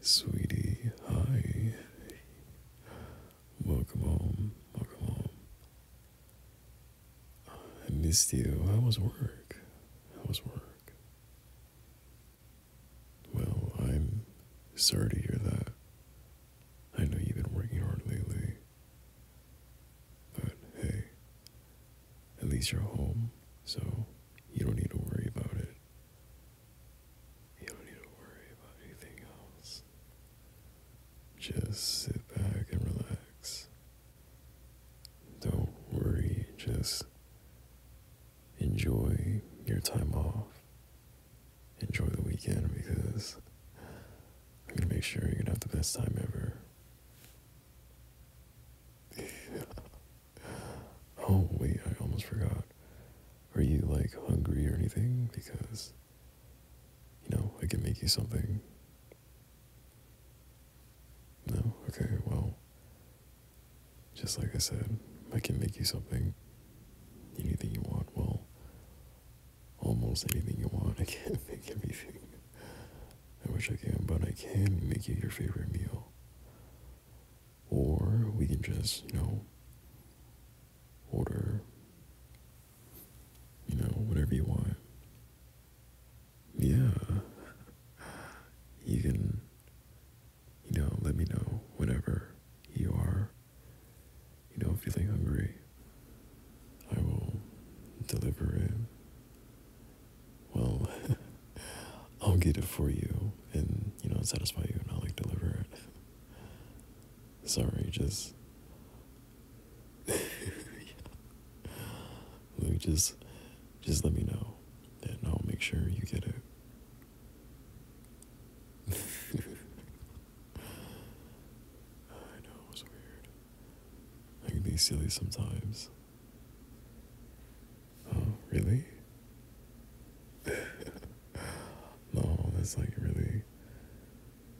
Sweetie, hi. Welcome home. Welcome home. I missed you. How was work? How was work? Well, I'm sorry to hear that. I know you've been working hard lately. But hey, at least you're home, so you don't need to worry about it. You don't need to worry about anything else. Just sit back and relax. Don't worry, just enjoy your time off. Enjoy the weekend because I'm gonna make sure you're gonna have the best time ever. oh, wait, I almost forgot. Are you like hungry or anything? Because, you know, I can make you something. No? Okay, well, just like I said, I can make you something. Anything you want. Well, almost anything you want. I can make everything. I wish I can, but I can make you your favorite meal. Or we can just, you know, order, you know, whatever you want. Yeah. You can, you know, let me know whenever you are, you know, feeling hungry. I will deliver it well, I'll get it for you and, you know, satisfy you and I'll, like, deliver it. Sorry, just. yeah. Like, just, just let me know and I'll make sure you get it. I know, it was weird. I can be silly sometimes. Oh, really? no, that's like really,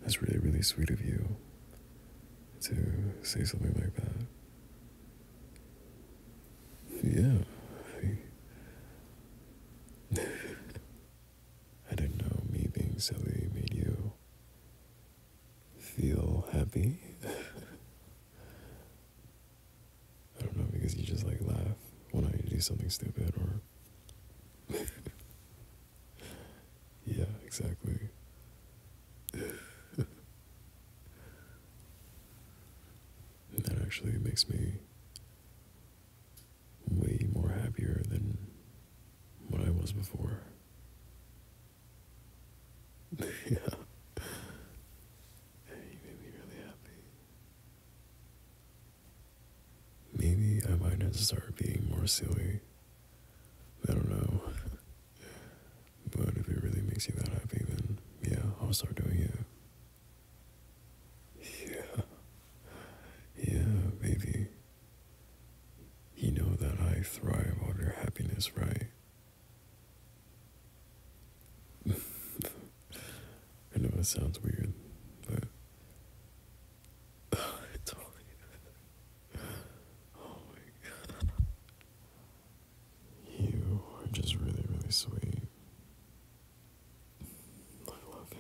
that's really, really sweet of you to say something like that. Yeah. I, I didn't know me being silly made you feel happy. I don't know because you just like laugh when I do something stupid or. yeah, exactly. that actually makes me way more happier than what I was before yeah. you made me really happy. Maybe I might have to start being more silly. I don't know. But if it really makes you that happy, then yeah, I'll start doing it. Yeah. Yeah, baby. You know that I thrive on your happiness, right? I know it sounds weird, but oh you are just really, really sweet. I love it.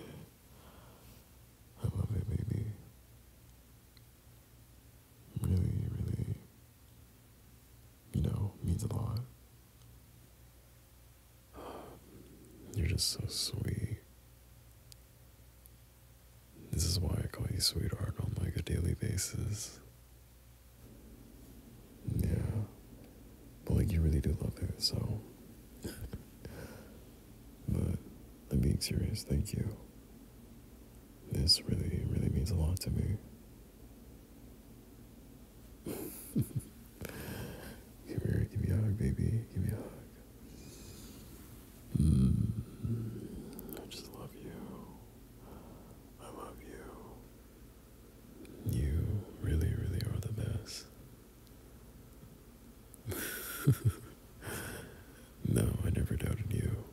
I love it, baby really, really, you know, means a lot. You're just so sweet. This is why I call you sweetheart on like a daily basis. Yeah. But like you really do love it, so but I'm being serious, thank you. This really, really means a lot to me. Give here, give me a hug, baby. Give me a hug. Mm. I just love you. I love you. You really, really are the best. no, I never doubted you.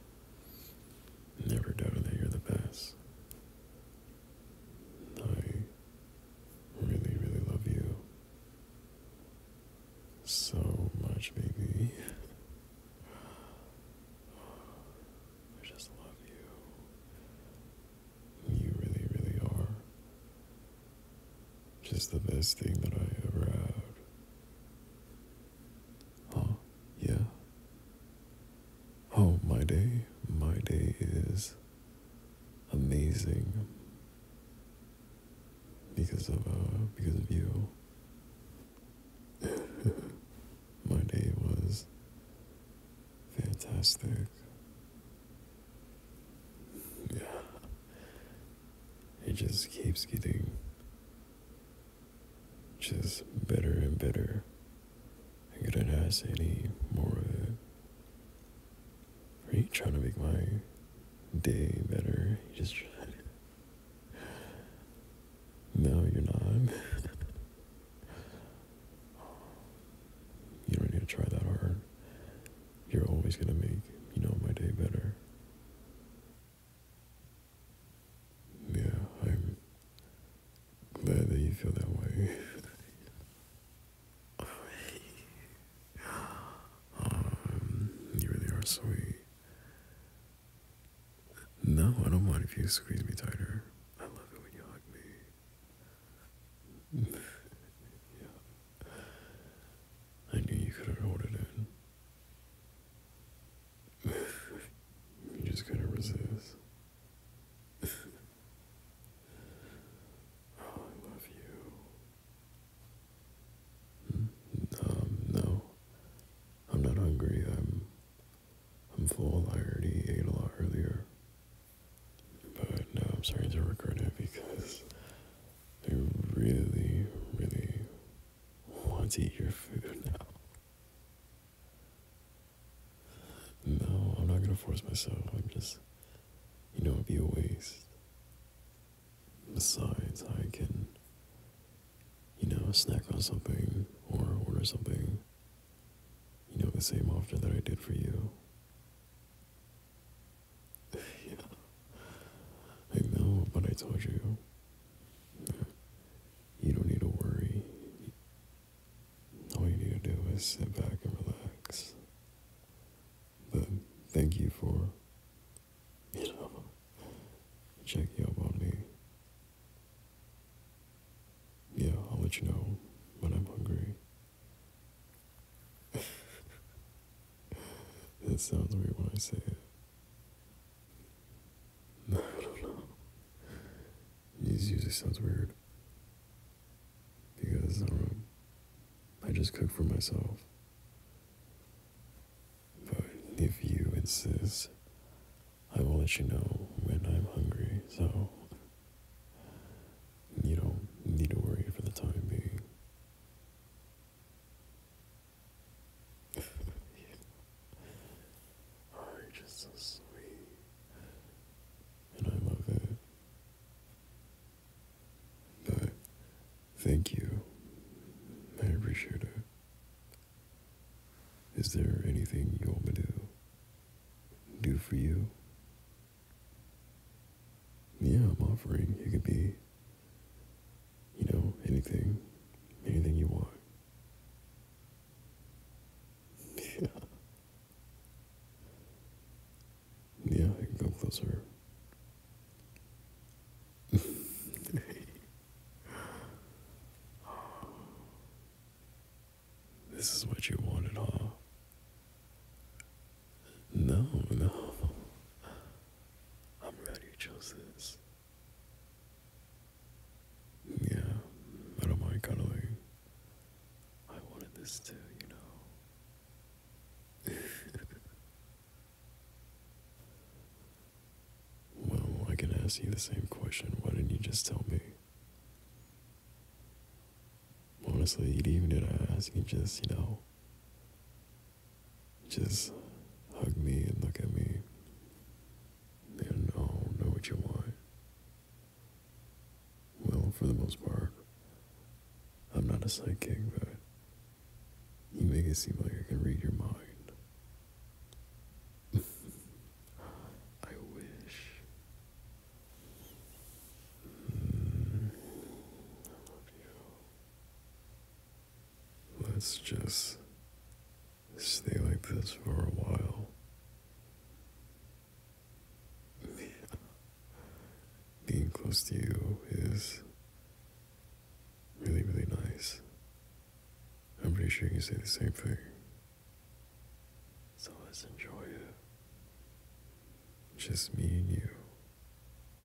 Never doubt that you're the best. I really, really love you. So much, baby. I just love you. You really, really are just the best thing that I ever had. Oh, Yeah. Oh, my day. My day is amazing because of uh, because of you. my day was fantastic. Yeah. It just keeps getting just better and better. I couldn't ask any more of it. Are you trying to make my day better? just No, you're not. you don't need to try that hard. You're always gonna make, you know, my day better. Yeah, I'm glad that you feel that way. um, you really are sweet. No, I don't mind if you squeeze me tighter. I love it when you hug me. I knew you could have it in you just gotta resist. oh, I love you. Um, no, I'm not hungry. I'm, I'm full. I already ate a lot earlier. But no, I'm sorry to regret it because I really, really want to eat your food now. No, I'm not gonna force myself. I'm just, you know, it'd be a waste. Besides, I can, you know, snack on something or order something, you know, the same offer that I did for you. yeah. I know, but I told you. You don't need to worry. All you need to do is sit back and relax. But thank you for, you know, checking up on me. Yeah, I'll let you know when I'm hungry. it sounds weird when I say it. I don't know. These usually sounds weird. Because um, I just cook for myself. But if you insist, I will let you know when I'm hungry, so you don't need to worry for the time being yeah. Orange is so sweet. And I love it. But thank you. I appreciate it. Is there anything you want me to do for you? Yeah, I'm offering. You could be you know, anything, anything you want. Yeah. Yeah, I can come closer. this is what you wanted, huh? No, no. I'm glad you chose this. Yeah, I don't mind cuddling. I wanted this too, you know. well, I can ask you the same question. Why didn't you just tell me? Honestly, you'd even did I ask you just, you know, just hug me and look at me and i know what you want. Well, for the most part, I'm not a psychic, but you make it seem like I can read your mind. I wish. Hmm. I love you. Let's just stay like this for a while. Being close to you is really, really nice. I'm pretty sure you can say the same thing. So let's enjoy it. Just me and you.